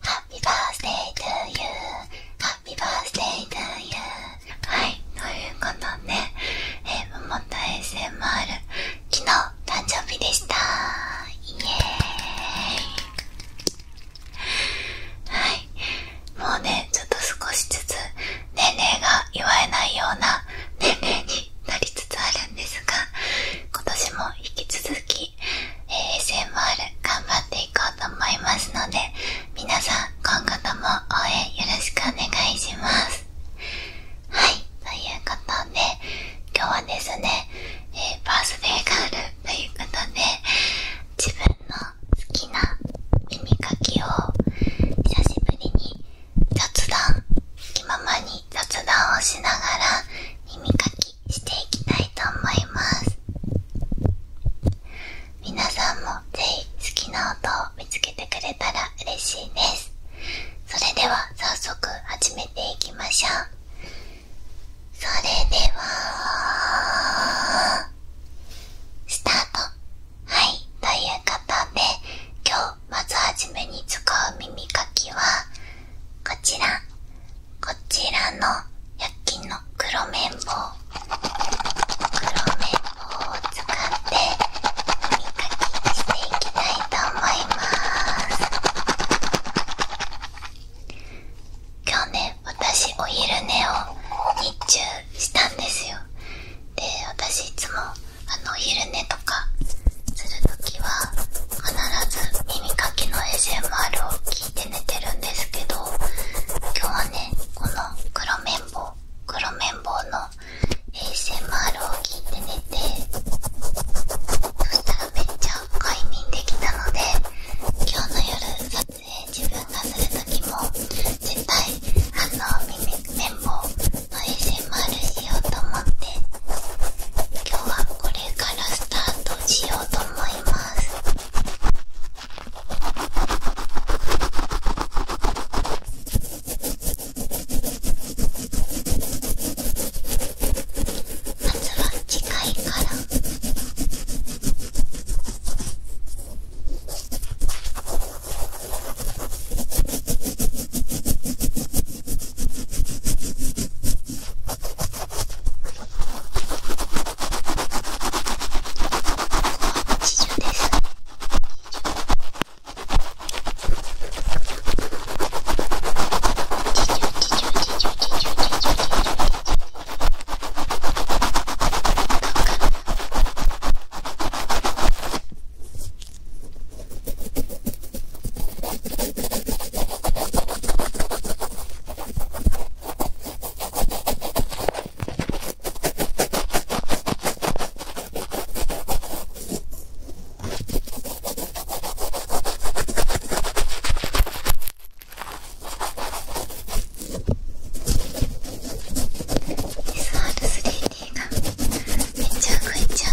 ハッピーバースデートゥーユーハッピーバースデートゥーユーはい、ということで、えー、桃太星もある。昨日誕生日でしたイエーイはい、もうね、ちょっと少しずつ年齢が言われないような年齢になりつつあるんですが今年も引き続きえ ASMR 頑張っていこうと思いますので皆さん今後とも応援よろしくお願いしますはいということで今日はですね、えー、バースデーガールということで自分の好きな耳かきを久しぶりに雑談気ままに雑談をしながら耳かきしていきたいと思います皆さんもぜひ好きな音を見つけてくれたら嬉しいですそれでは早速始めていきましょうそれではスタートはいということで今日まずはじめに使う耳かきはこちらこちらの1 0の黒綿棒黒綿棒を使って耳かきしていきたいと思います今日ね私お昼寝を日中したんですよで私いつもあのお昼寝とかする時は必ず耳かきの ASMR を聞寝てるんですけど今日はねこの黒綿棒黒綿棒の ASMR を聞いて寝てそしたらめっちゃ快眠できたので今日の夜撮影自分がする時も絶対あの耳綿棒の ASMR しようと思って今日はこれからスタートしようと思いますまずは次回からです。SR3D がめっちゃ動いちゃう。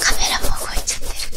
カメラも動いちゃってるこ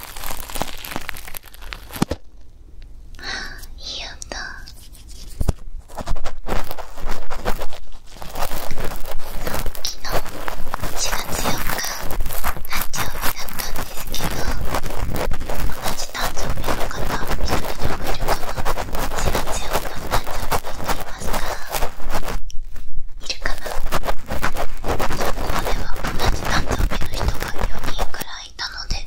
あ、いい音昨日4月4日誕生日だったんですけど同じ誕生日の方一人でもいるかな4月4日誕生日にいますかいるかな日誕生日の人が4人くらいいたので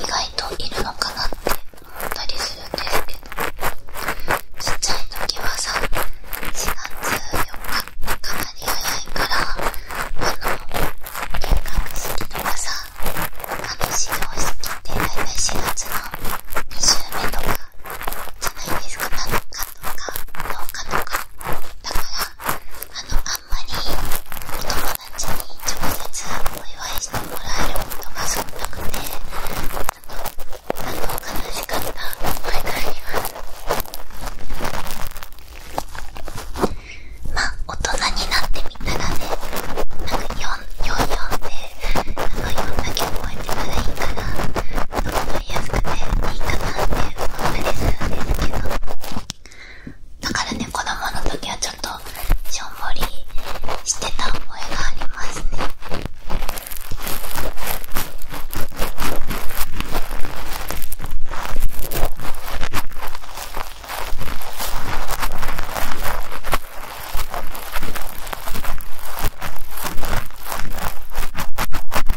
意外といるのかなって思ったりするんですけどちっちゃい時はさ4月4日っかなり早いからあの見学るとかさあの始業式ってだいたい4月の2週目とかじゃないですか7日とか10日とかだからあのあんまりお友達に直接お祝いしてもらえることが少なくてあのあの悲しかった思いがありますまあ大人になってみたらねなんか44でなんかいろんな曲をやてたらいいから。安くていいかなって思ったりするんですけどだからね子供の時はちょっとしょんぼりしてた覚えがありますねこ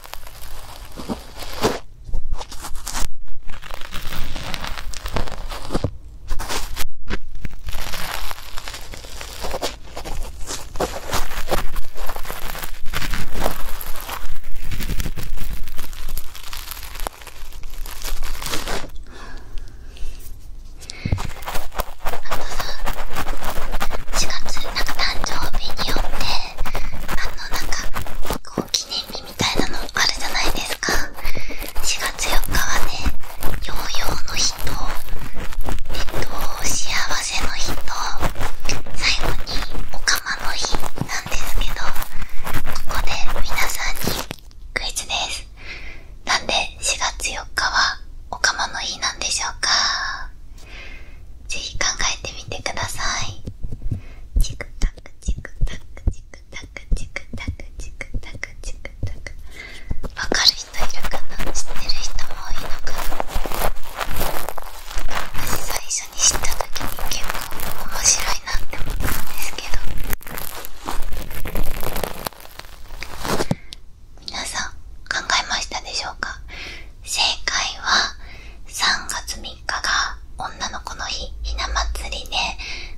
あ4月なんか誕生日によってあのなんかこう記念日みたいなのあるじゃないですか4月4日はねヨーヨーの日とえっと幸せの日と最後におかまの日なんですけどここで皆さんにクイズですなんで4月4日はおかまの日なんでしょうかぜひ考えてみてくださいチクタクチクタクチクタクチクタクチクタクチクタクわかる人いるかな知ってる人も多いのかな私最初に知った時に結構面白いなって思ったんですけどみなさん考えましたでしょうか正解は3月3日が女の子の日ひな祭りで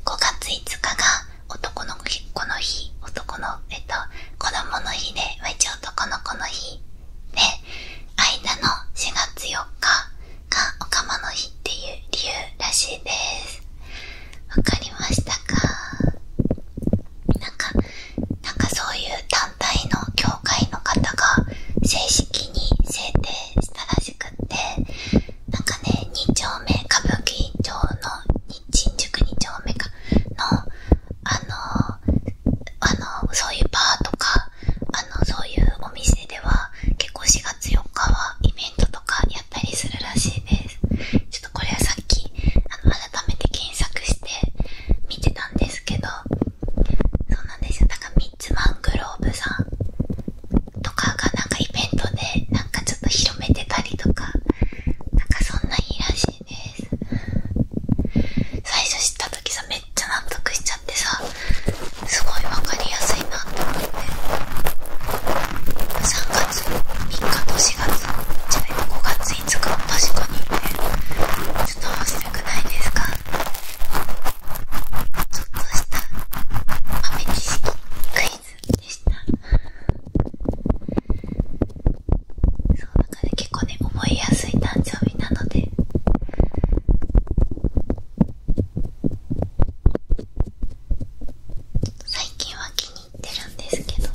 5月5日が男の子の日男のえっと子供の日で一応男の子の日で間の4月4日がおかまの日っていう理由らしいですわかりましたかなんかなんかそういう単反対の教会の方が正式に制定したらしくてなんかね2丁目歌舞伎町の新宿2丁目かのあのあのそういうバーとかあのそういうお店では結構4月4日はイベントとかやったりするらしいですちょっとこれはさっきあの改めて検索して見てたんですけどそうなんですよなかミッツマングローブさんとかがなんかイベントでなんかちょっと広めてたりとかなんかそんなにいらしいです最初知った時さめっちゃ納得しちゃってさすごい分かりやすいなと思って3月3日と4月じゃな5月5日確かにねちょっと忘よくないですかちょっとした豆知識クイズでしたそうだから結構ね思いやすい誕生日なので最近は気に入ってるんですけど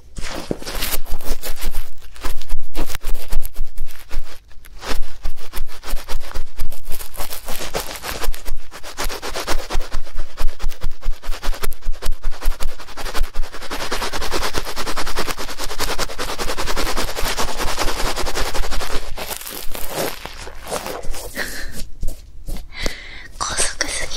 高速すぎ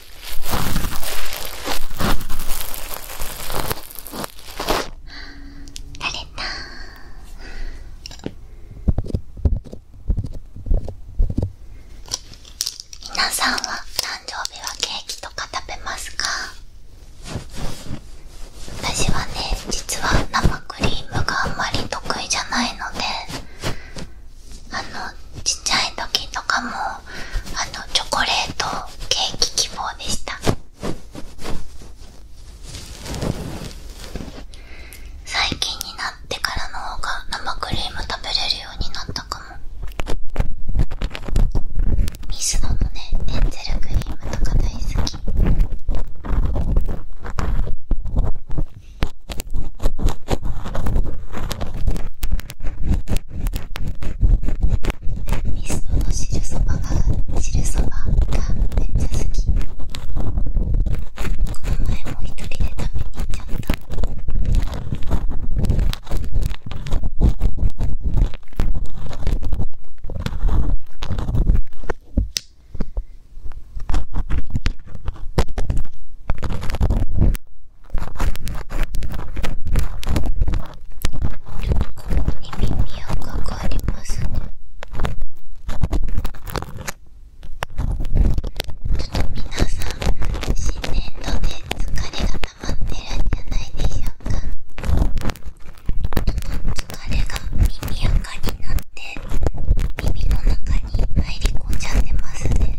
慣れた皆さんは誕生日はケーキとか食べますか私はね実は生クリームがあんまり得意じゃないのであのちっちゃい時とかもあのチョコレートケーキ希望でした最近になってからの方が生クリーム食べれるようになったかもミスドのねエンゼルクリームとか大好きミストの汁そばが汁そばがめっちゃ好きこの前も一人で食べに行っちゃったちょっと耳に赤がありますねちょっと皆さん新年度で疲れが溜まってるんじゃないでしょうかちょっと疲れが耳赤になって耳の中に入り込んじゃってますね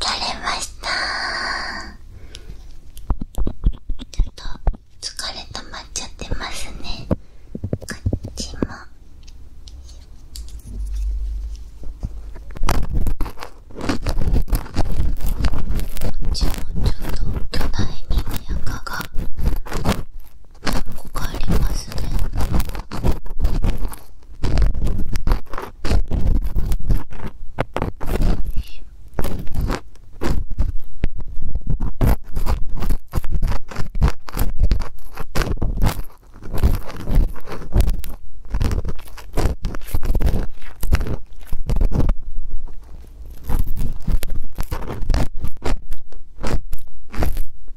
疲れましたちょっと疲れ溜まっちゃってますねこっちもこっちもちょっと巨大に赤がここありますね取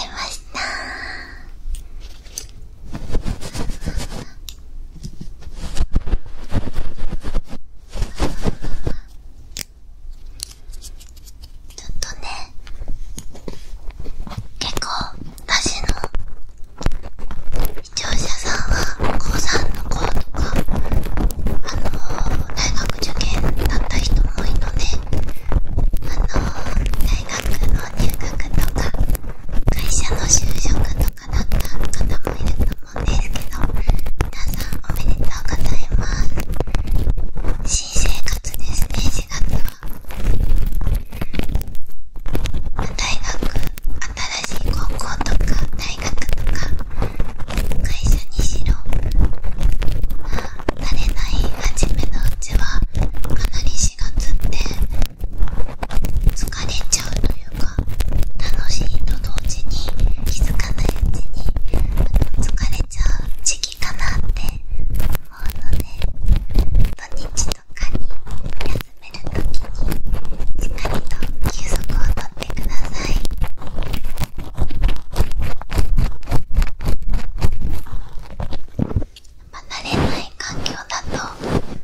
れましたちょっとね結構私の視聴者さんは高3の子とかあの大学受験だった人も多いのであの大学の入学とか会社の就職とか。だった方もいると思うんですけど皆さんおめでとうございます新生活ですね4月は大学新しい高校とか大学とか会社にしろまあ慣れない初めのうちはかなり4月って疲れちゃうというか楽しいと同時に気づかないうちに疲れちゃう時期かなって思うので土日とかに休める時にしっかりと休息をとってください。まあ、慣れない環境だと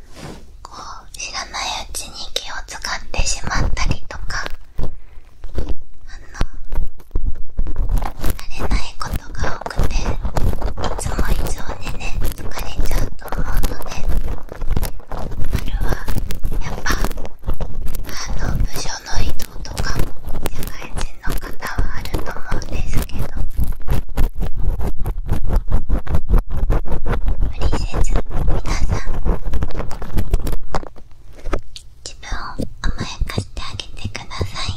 知らないうちに気を使ってしまったりとかあの慣れないことが多くていつも以上にね疲れちゃうと思うので春はやっぱあの部署の移動とかも社会人の方はあると思うんですけど。無理せず皆さん自分を甘やかしてあげてください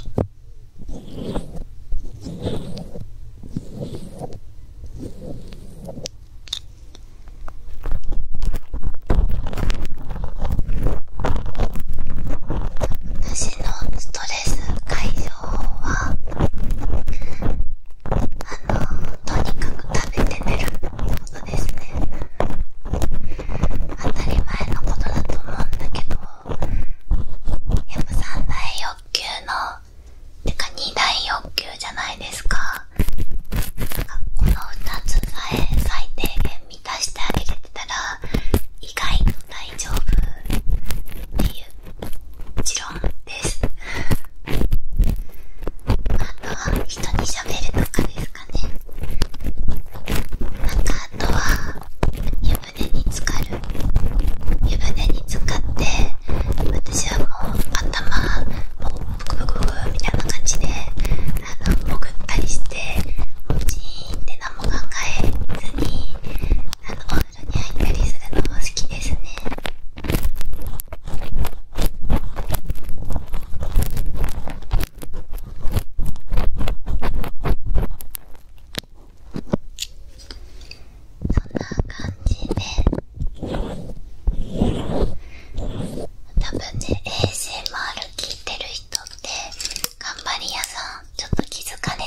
私のストレス解消法はあのとにかく食べて寝ることですね当たり前のことだと思うんだけどやっぱ三大欲求のてか二大欲求じゃないですかなんかこの2つさえ最低限満たしてあげれてたら意外と大丈夫っていうもちろんです。あとは人に喋るとかですかね。なんかあとは湯船に浸かる。湯船に浸かって、私はもう頭、もうブクブクブクみたいな感じで、あの、潜ったりして、もうジーンって何も考えずに、あの、おたりそんな感じで多分ね a s m る、聞いてる人って頑張り屋さんちょっと気付かれ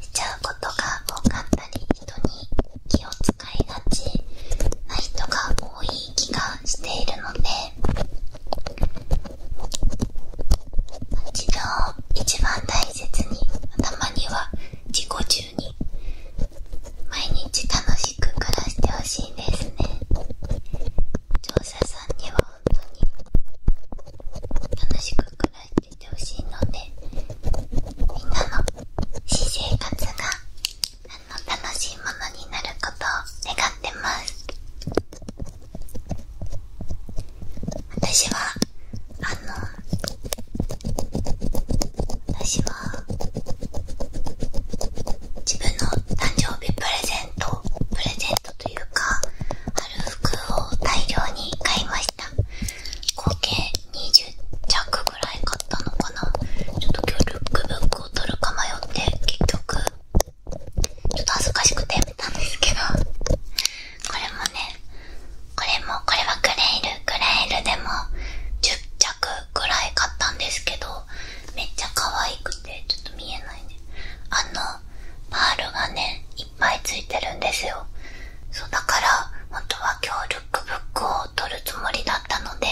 しちゃうことが多かったり人に気を使いがちな人が多い気がしているので自分を一番大切に頭には自己中に毎日楽しく暮らしてほしいですね調査さんには本当に楽しく暮らしててほしいのでみんなの私生活が楽しいものになることを願ってます私はあの私は自分の誕生日プレゼントプレゼントというかある服を大量に買いました。合計20着ぐらい買ったのかなちょっと今日ルックブックを取るか迷って結局ちょっと恥ずかしくてやめたんですけどこれもねこれもこれはグレイルグレイルでも10着ぐらい買ったんですけどめっちゃ可愛くてちょっと見えないねあのパールがねいっぱいついてるんですよそうだから本当は今日ルックブックを取るつもりだったので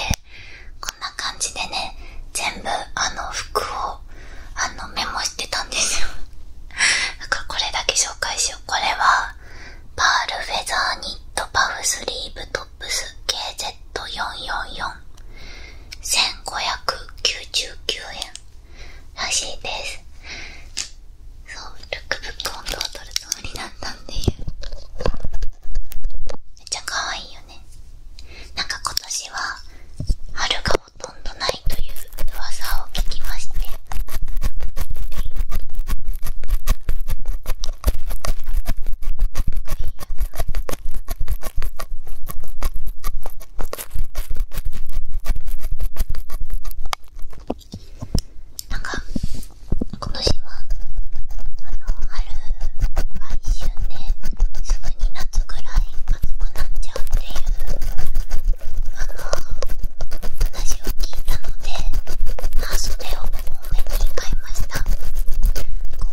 こんな感じでね全部あの服をあのメモしてたんですよだからこれだけ紹介しようこれはパールフェザーニットパフスリーブトップス KZ444159 9円らしいですそうルックブック音度を取るつもりだったんでめっちゃ可愛いよねなんか今年は春がほとんどないという噂を聞きましてこなんかこの詩はあの春が一瞬ですぐに夏ぐらい暑くなっちゃうっていうあの話を聞いたので半袖を多めに買いました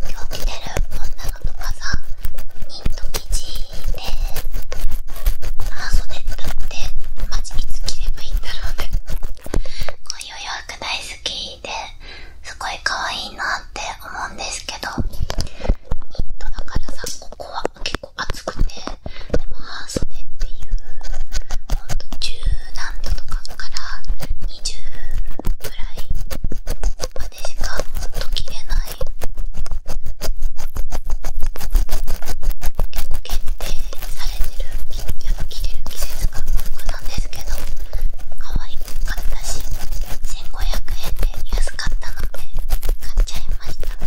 今日着てる女の子がさニット生地で半袖だってマジいつ着ればいいんだろうねいう予約大好きですごい可愛いなって思うんですけどニットだからさここは結構厚くてでも半袖っていうほんと10何度とかから20ぐらいまでしかほんと着れない結構限定さされてるやっぱ着れる季節が服なんですけど可愛かったし1500円で安かったので買っちゃいました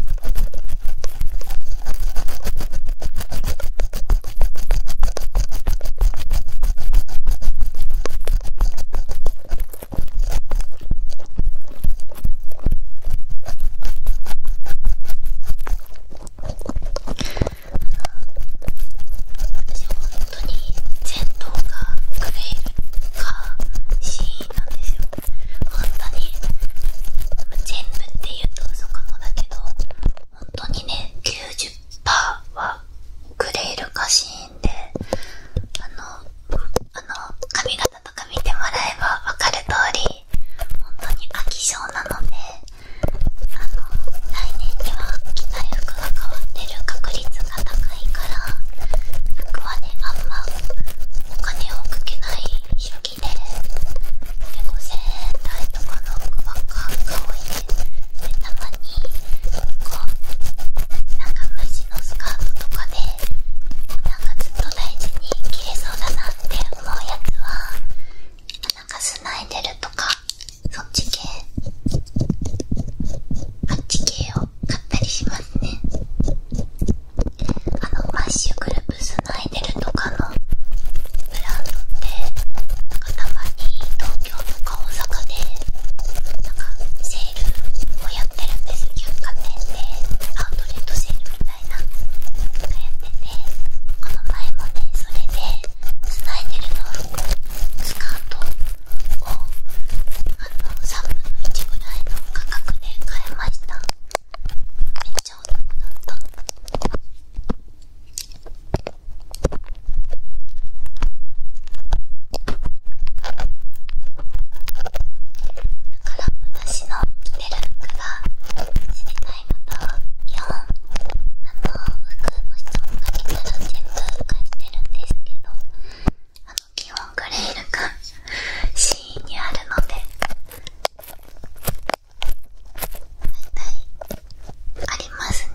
私本当に前頭がグレーかシーンなんですよ本当に全部って言うと嘘かもだけど本当にね90%はグレールかシーンであの髪型とか見てもらえば分かる通り本当に飽き性なのであの、来年には着たい服が変わってる確率が高いから服はねあんまお金をかけない初期でで、5000円台とかの服ばっかがいででたまにこうなんか虫のスカートとかでなんかずっと大事に着れそうだなって思うやつはなんかスナイデルとかそっち系あっち系を買ったりしますねあのマッシュグループスナイデルとかのブランドってなんかたまに東京とか大阪でなんかセールをやってるんです百貨店でアウトレットセールみたいなのがやっててこの前もねそれでつないでるのスカートを3分の1ぐらいの価格で買いましためっちゃお得だっただから私の着てる服が知りたいいのと4あの服の質問が来たら全部返してるんですけどあの基本グレールがシーンにあるので大体ありますね。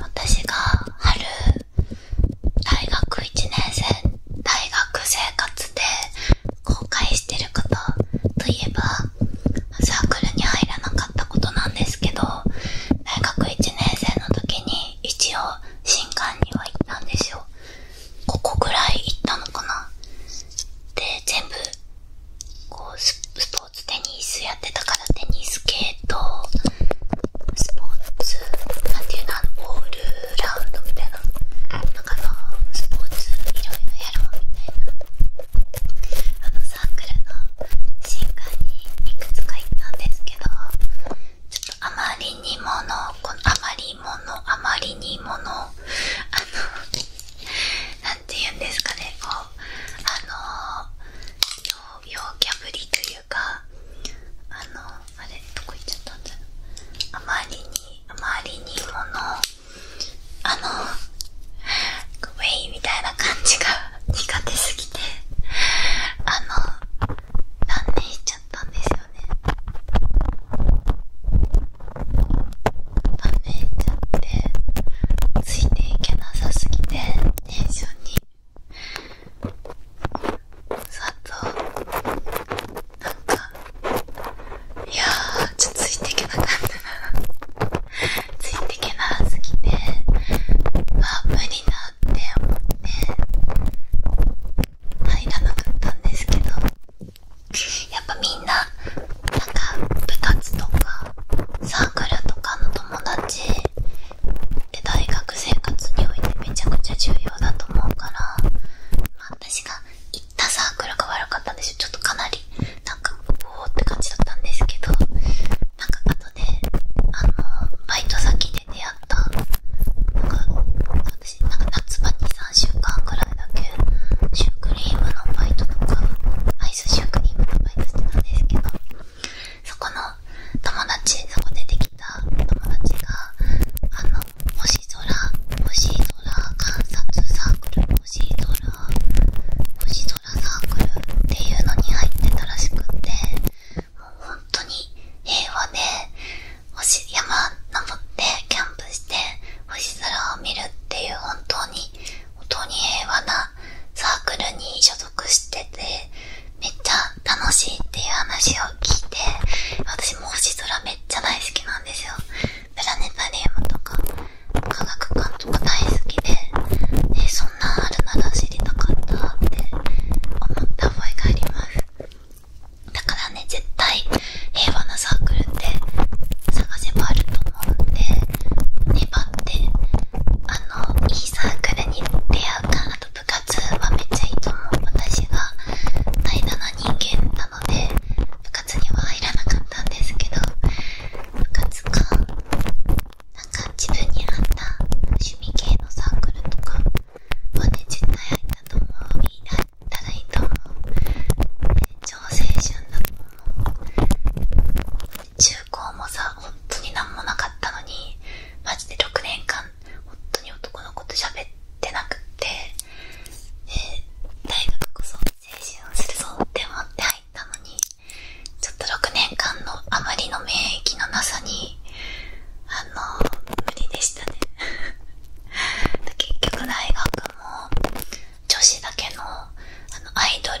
私が春大学1年生大学生活で後悔してることといえばサークルに入らなかったことなんですけど大学1年生の時に一応新館には行ったんですよここぐらい行ったのかなで全部こうスポーツテニスやってたからテニス系とスポーツなんていうのオールラウンドみたいななんかのスポーツいろいろやろうみたいなあのサークルの新館にいくつか行ったんですけどちょっとあまりにものあまりものあまりにものあの なんて言うんですかねこうあの陽キゃぶりというかあのあれどこ行っちゃったんだあまりにあまりにものあのウェイみたいな感じが苦手すぎてあの断念しちゃったんですよね断念しちゃってついていけなさすぎてテンションにさとなんかいやーちょっとついていけなかったなついていけなすぎてあ無理だって思って入らなかったんですけどやっぱみんななんか部活とかサークルとかの友達って大学生活においてめちゃくちゃ重要だと思うから、まあ、私が行ったサークルが悪かったんでしょちょっとかなりなんかおおって感じだったんですけどなんかあとであのバイト先で出会ったなんか私なんか夏場に3週間くらいだけシュークリームのバイトとかアイスシュークリームのバイトしてたんですけどそこの友達そこでできた友達があの星空星空観察サークル星空星空サークルっていうのに入ってたらしくて。本当に平和で星山登ってキャンプして星空を見るっていう本当に本当に平和なサークルに所属しててめっちゃ楽しいっていう話を聞いて私も星空めっちゃ大好きなんですよプラネタリウムとか科学館とか大好きでえそんなあるなら知りたかったって思った覚えがありますだからね絶対平和なサークルって探せばあると思うんで粘ってあのいいサークルに出会うかあと部活はめっちゃいいと思う私が怠惰な人間なので部活には入らなかったんですけど部活かなんか自分に合った趣味系のサークルとかお代伝ったと思ういだったらいいと思う超青春だと思う中高もさ本当に何もなかったのにマジで6年間本当に男の子と喋ってなくって、え大学こそ青春をするぞって思って入ったのにちょっと6年間のあまりの免疫のなさにあ無理でしたね 結局大学も女子だけのアイドル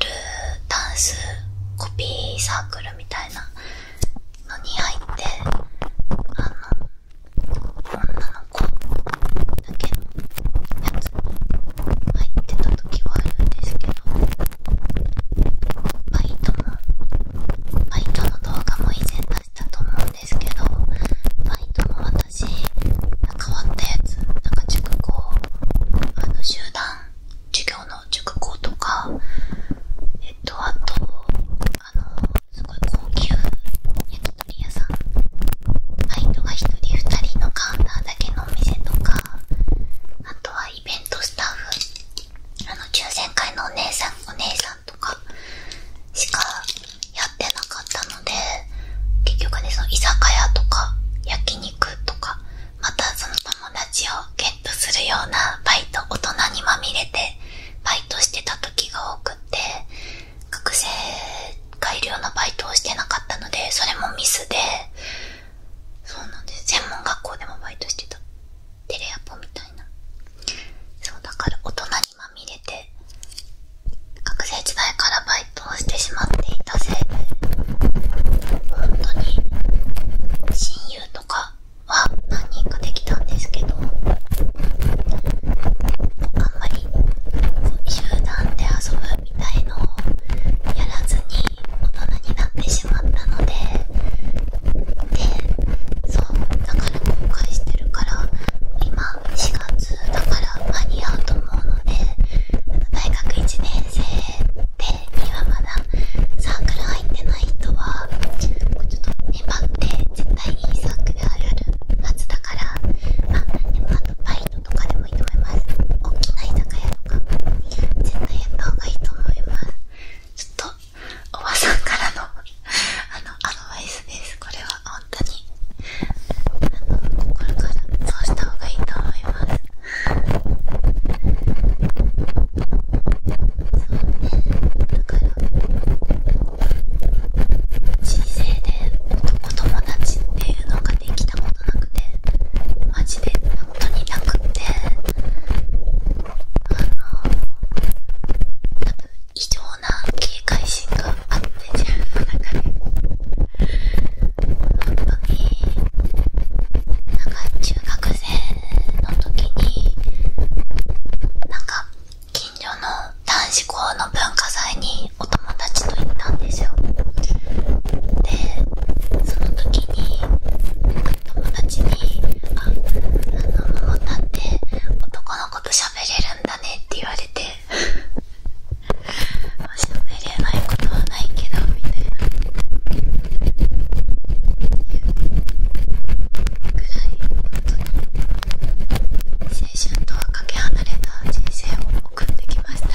ダンスコピーサークルみたいなのに入ってあの女の子だけのやつに入ってた時はあるんですけどバイトもバイトの動画も以前出したと思うんですけどバイトも私変わったやつなんか熟講あの集団授業の熟講とかえっとあとあのすごい高級焼き鳥屋さんバイトが1人2人のカウンターだけのお店とかあとはイベントスタッフあの抽選会のお姉さんお姉さんとかしかやってなかったので結局ねその居酒屋とか焼肉とかまたその友達をゲットするようなバイト大人にまみれてバイトしてた時が多くって学生改良のバイトをしてなかったのでそれもミスでそうなんです専門学校でもバイトしてたテレアポみたいなそうだから大人にまみれて学生時代からバイトをしてしまっていたせいで本当に親友とかは何人かできたんですけどあんまり集団で遊ぶみたいのをやらずに大人になってしまったのででそうだから後悔してるから今4月だから間に合うと思うので大学1年生ではまだサークル入ってない人はちょっと粘って絶対いいサークルあるある夏だからあでもあとバイトとかでもいいと思います大きな居酒屋とか絶対やった方がいいと思いますちょっとおばさんからのあのアドバイスですこれは本当にあの心からそうした方がいいと思いますそうねだから人生でお友達っていうのができたことなくてマジで本当になくてあの？多分異常な警戒心があって自分の中で本当になんか中学生の時になんか近所の男子校の文化祭にお友達と行ったんですよでその時になか友達に「ああの女って男の子と喋れるんだね」って言われて「喋れないことはないけど」みたいなぐらい本当に青春とはかけ離れた人生を送ってきましたね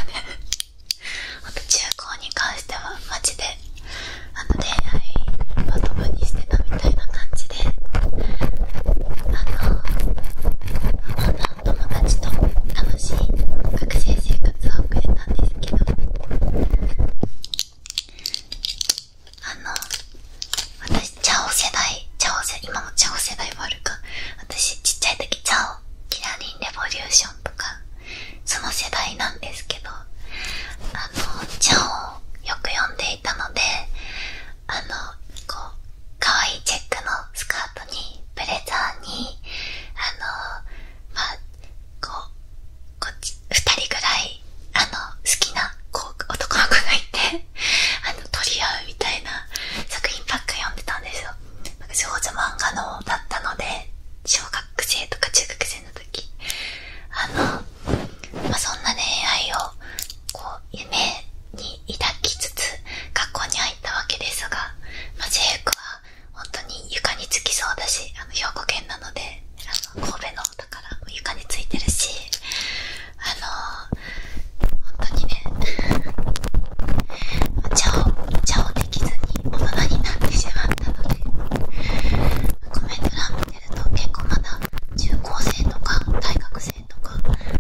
あと 中高に関してはマであの恋愛まともにしてたみたいな感じであの女の友達と楽しい学生生活を送れたんですけどあの私チャオ世代チャオ世今もチャオ世代もあるか私ちっちゃい時チャオキラリンレボリューションとかその世代なんですけどあのちゃんをよく読んでいたのであのこう可愛いチェックのスカートにブレザーにあのまあこう2人ぐらいあの好きな男の子がいて あの取り合うみたいな作品ばっか読んでたんですよ。なんか少女漫画のだったので小学生とか中学あの、まあ、そんな恋愛を夢に抱きつつ学校に入ったわけですが、まあ、ジェイクは本当に床につきそうだしあの兵庫県なので神戸のだから床についてるしあのー、本当にね 茶を茶をできずに大人になってしまったのでコメント欄もね。結構まだ中高生とか大学生とか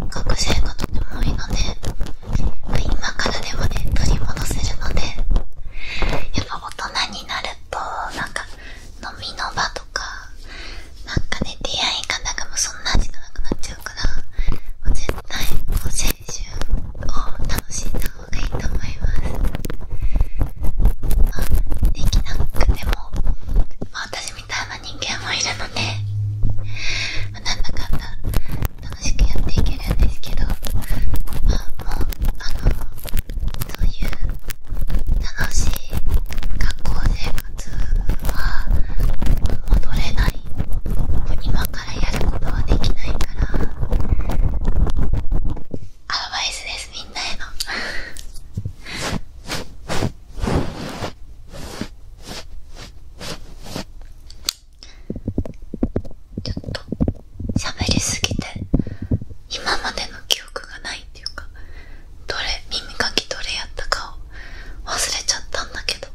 学生がとても多いので今からでもね取り戻せるのでやっぱ大人になるとなんか飲みの場とかなんかね出会い方がもうそんな味がなくなっちゃうからもう絶対こう青春を楽しんだ方がいいと思います。できなくても、私みたいな人間もいるので、まなんだかんだ楽しくやっていけるんですけど、もうあのそういう楽しい学校生活は戻れない今からやることはできないから。アドバイスですみんなへのちょっと喋りすぎて今までの記憶がないっていうかどれ耳かきどれやったかを忘れちゃったんだけど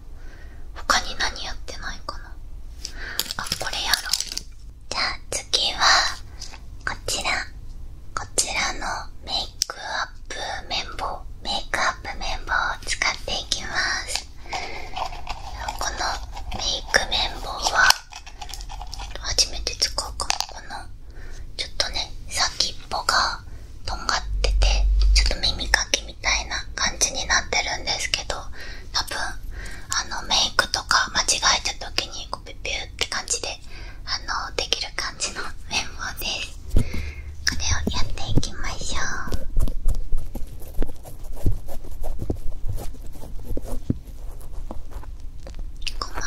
他に何やってないかなあこれやろうじゃあ次はこちらこちらのメイクアップ綿棒メイクアップ綿棒を使っていきますこのメイク綿棒は初めて使うかこのちょっとね先っぽがとんがっててちょっと耳かきみたいな感じになってるんですけど多分あのメイクとか間違えた時にピュピュって感じで反応できる感じの綿棒ですこれをやっていきましょう鼓膜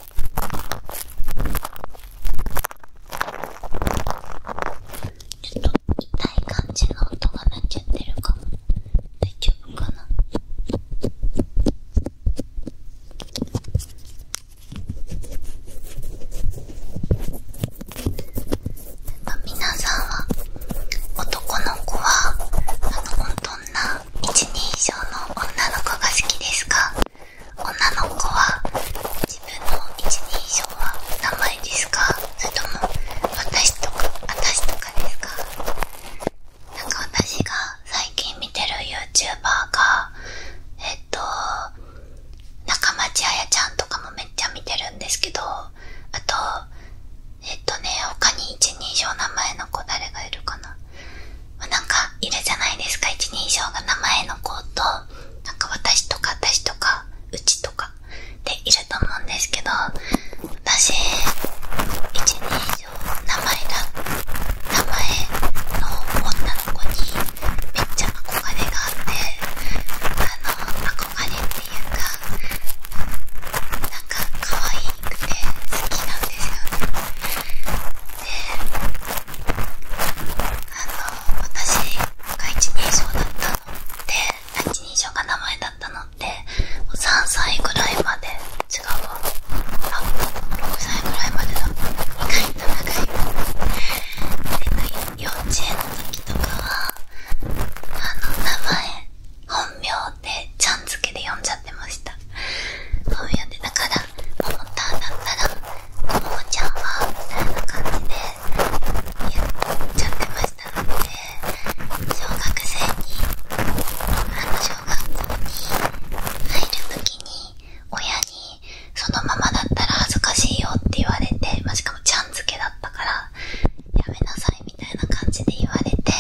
ちょっと痛い感じの音が鳴っちゃってるかも大丈夫かな皆さんは男の子はあのどんな一人以上の女の子が好きですか女の子は自分の一人称は名前ですかそれとも私とか私とかですかなんか私が最近見てる YouTuber がえっと中町彩ちゃんとかもめっちゃ見てるんですけどあとえっとね他に一人称名前の子誰がいるかななんかいるじゃないですか一人称が名前の子となんか私とか私とかうちとかでいると思うんですけど私一人称名前だ名前の女の子にめっちゃ憧れがあってあの憧れっていうかなんか可愛くて好きなんですよねであの私が一人称だったので一人称が名前だったのって3歳ぐらいまで違うわあ6歳ぐらいまでだ意外と長いの幼稚園の時とかはあの名前本名でちゃん付けで呼んじゃってました本名でだから「ももた」だったらももちゃんはみたいな感じでやっちゃってましたので小学生にあの小学校に入る時に親にそのままだったら恥ずかしいよって言われて、ましかもちゃん付けだったからやめなさいみたいな感じで言われて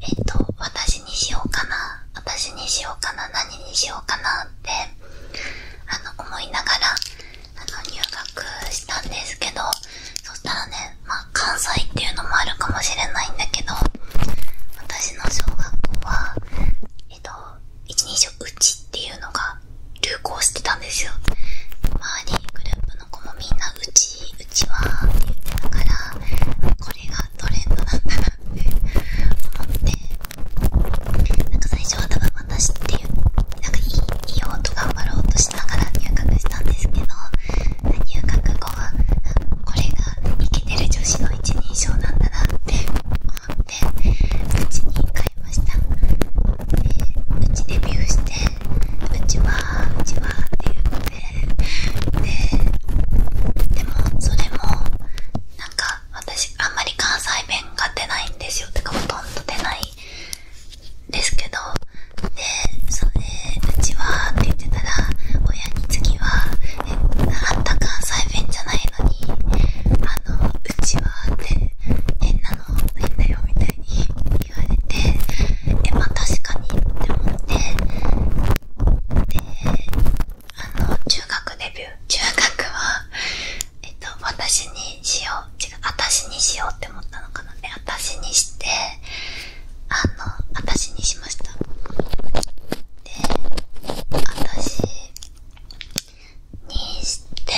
えっと私にしようかな私にしようかな何にしようかなっあの思いながらあの入学したんですけどそしたらね、まあ、関西っていうのもあるかもしれないんだけど私の小学校はえっと一人うち」っていうのが流行してたんですよ周りグループの子もみんな「うち」「うちは」って言ってたからこれがトレンドなんだなって思ってなんか最初はただ私っていうなんかいいいい音頑張ろうとしながら入学したんですけど入学後はこれがイケてる女子の一人称なんだなって思ってうちに帰りましたでうちデビューしてうちはうちはって言ってでででもそれもなんか私あんまり関西弁が出ないんですよてかほとんど出ないですけどでそれうちはって言ってたら親に次はえあんた関西弁じゃないのにあのうちはって変なの変だよみたいに言われてえまあ確かにって思ってであの中学デビュー中学はえっと私にしよう違う私にしようって思ったのかな私にしてあの私にしましたで私にして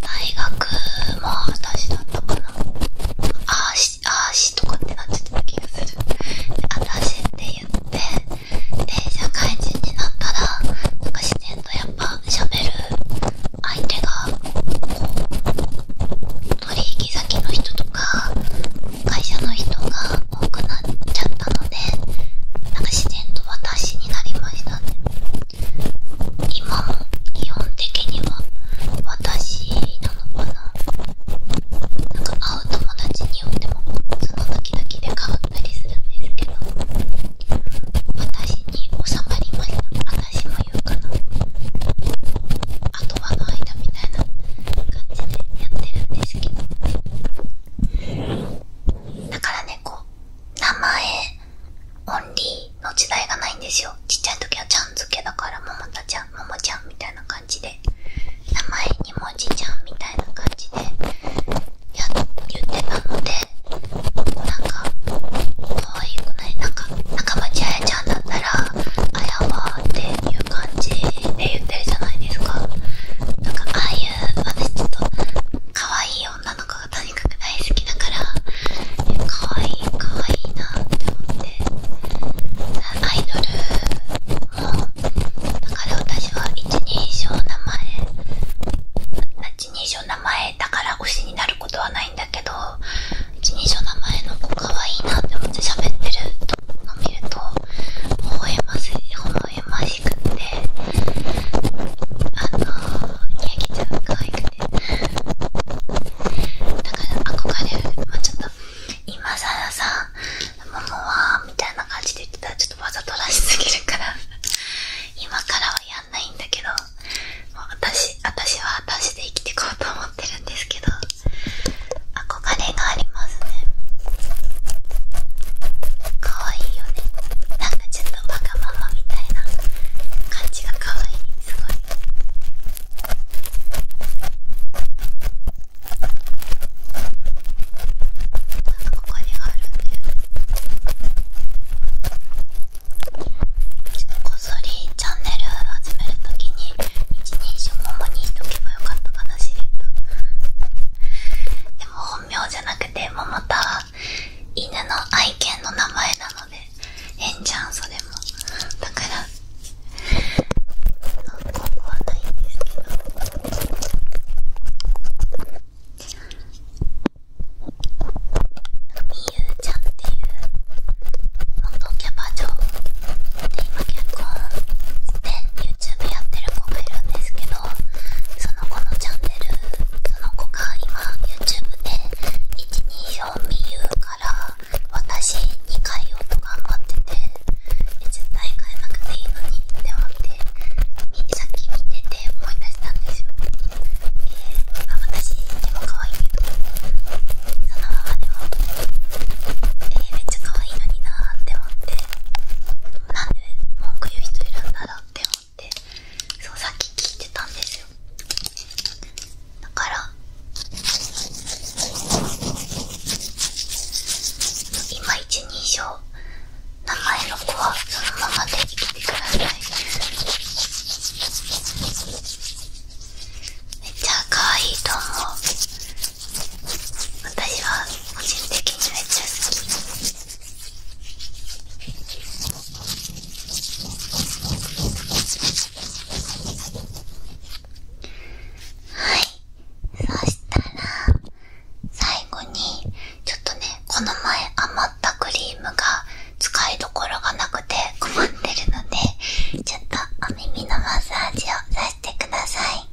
大学も私だったかなあーしあーしとかってなっちゃった気がするで私って言ってで社会人になったらなんか自然とやっぱしゃべる相手がこう取引先の人とか会社の人が多くなっちゃったのでなんか自然と私になりましたね今も基本的には私なのかななんか会う友達にもその時々で変わったりするんですけど私に収まりました私も言うかなあとはの間みたいな感じでやってるんですけどだからねこう名前オンリーの時代がないんですよちっちゃい時はちゃん付けだからももたちゃんももちゃんみたいいな感じで名前にもじちゃんみたいな感じでや言ってたのでなんか可愛くないなんか中町あやちゃんだったら「あやわ」っていう感じで言ってるじゃないですかなんかああいう私ちょっとかわいい。女の子がとにかく大好きだから可愛い可愛いいなって思ってアイドルもう、だから私は一人称名前一人称名前だから推しになることはないんだけど一人称名前の子可愛いなって思って喋ってるのを見ると微笑まし微笑ましくってあのー、ニヤちゃん可愛くてだから憧れるまあちょっと今更さママはみたいな感じで言ってたらちょっとわざとらしすぎるから 今からはやんないんだけどもう私私は私で生きていこうと思ってるんですけど憧れがありますね可愛いよねなんかちょっとわがままみたいな感じが可愛いすごい。なんここにあるんで。ちょっとこっそりチャンネル始める時に一人称ももにしとけばよかったかなしれっとでも本名じゃなくて桃もは犬の愛犬の名前なので変じゃんそれもだからここはないんですけどみゆちゃんっていう元キャバ嬢で今結婚して YouTube やってる子がいるんですけどその子のチャンネルその子が今 YouTube で124。みゆうから私に変えようと頑張ってて絶対買えなくていいのにって思ってさっき見てて思い出したんですよ、えー、私でも可愛いけどそのままでも、えめっちゃ可愛いのになーって思ってなんで文句言う人いるんだろうって思ってそうさっき聞いてたんですよだから今一人称名前の子はそのままで生きてくださいめっちゃ可愛いと思う私は個人的にめっちゃ好きはいそしたら最後にちょっとねこの前余ったクリームが使いどころがなくて困ってるのでちょっとお耳のマッサージをさしてください。よ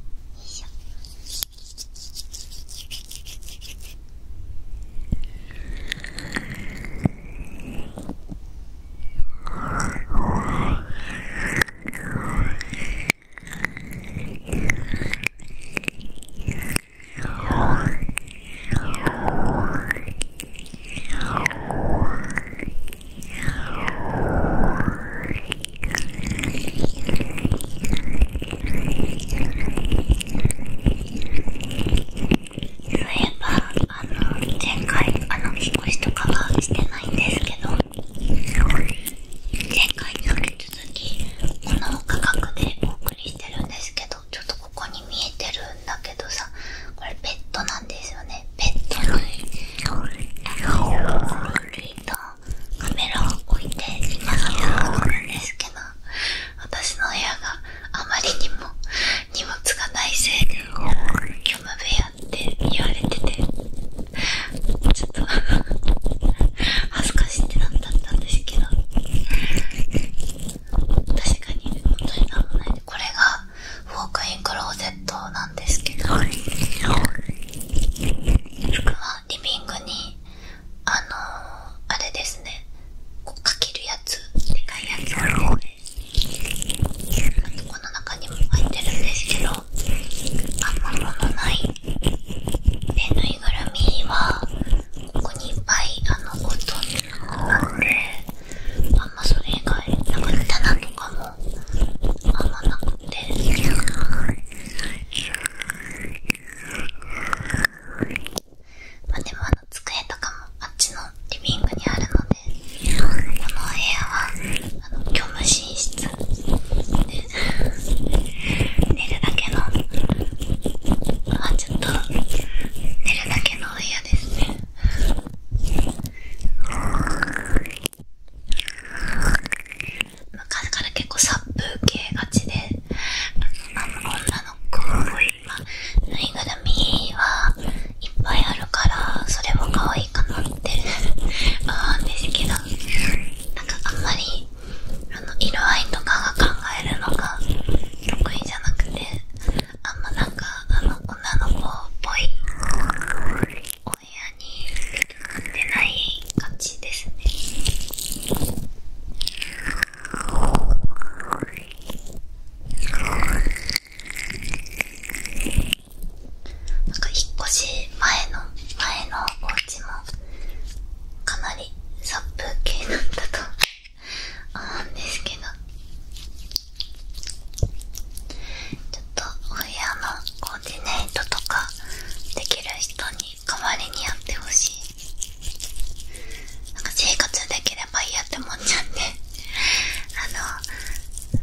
いしょそういえばあの前回あの引っ越しとかはしてないんですけど前回に引き続きこの価格でお送りしてるんですけどちょっとここに見えてるんだけどさこれペットなんですよねペットのカメラを置いて今のところなんですけど私の部屋があまりにも荷物がないせいで虚無部屋って言われててちょっと恥ずかしいってなったんですけど確かに本当に何もないで、これがウォークインクローゼットなんですけど僕はリビングにあのあれですねこうかけるやつでかいやつを、ね、この中にも入ってるんですけどあんま物ないでぬいぐるみはここにいっぱいあのことあっあんまそれ以外なかったなとかもあんまなくて。まあでもあの机とかもあっちのリビングにあるのでこの部屋はあの虚無寝室で寝るだけのあちょっと寝るだけのお部屋ですね昔から結構殺風景がちであの女の子縫いぐるみはいっぱいあるからそれも可愛いかなって思うんですけどなんかあんまりあの色合いとかが考えるのが得意じゃなくてあんまなんかあの女の子っぽいお部屋に出ない感じですねなんか引っ越し前の前のお家もかなり殺風景だったと 思うんですけどちょっとお部屋のコーディネートとかできる人に代わりにやってほしいなんか生活できればいいやって思っちゃってあの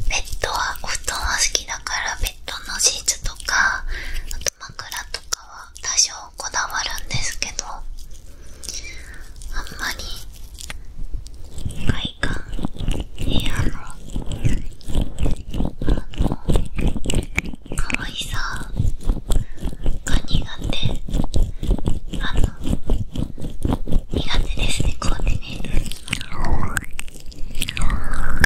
ベッドはお布団は好きだからベッドのシーツとかあと枕とかは多少こだわるんですけどあんまり外観部屋の可愛さが苦手あの苦手ですねコーディネート。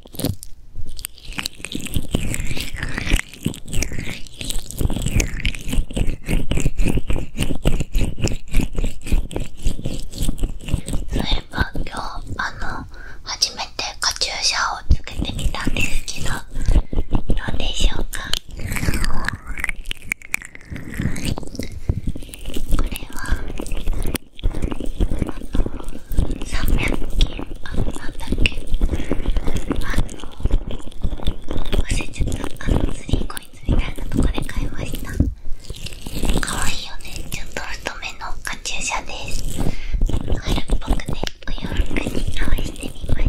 そういえば今日あの初めてカチューシャをつけてみたんですけどどうでしょうかこれは300均あなんだっけあの忘れちゃったあのツリーコインみたいなとこで買いました可愛いよねちょっと太めのカチューシャです春っぽくねお洋服に合わせてみました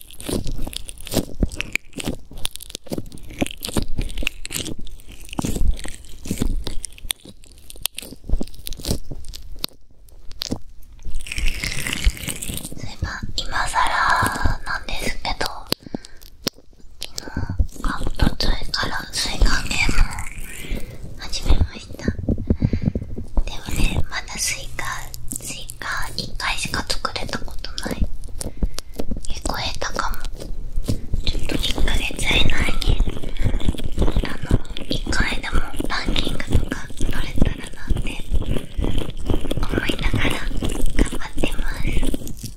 すいません、今更なんですけど昨日カブトツからスイカゲームを始めましたでもねまだスイカスイカ1回しか作れたことない聞こえたかもちょっと1ヶ月以内にあの1回でもランキングとか取れたらなんて思いながら頑張ってます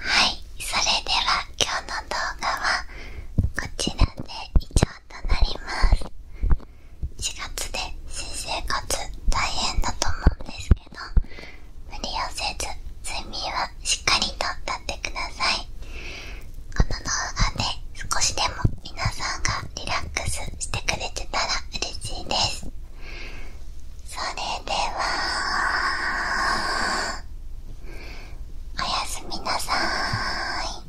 はい、それでは今日の動画はこちらで以上となります。4月で新生活大変だと思うんですけど無理をせず睡眠はしっかりととってくださいこの動画で少しでも皆さんがリラックスしてくれてたら嬉しいですそれではおやすみなさい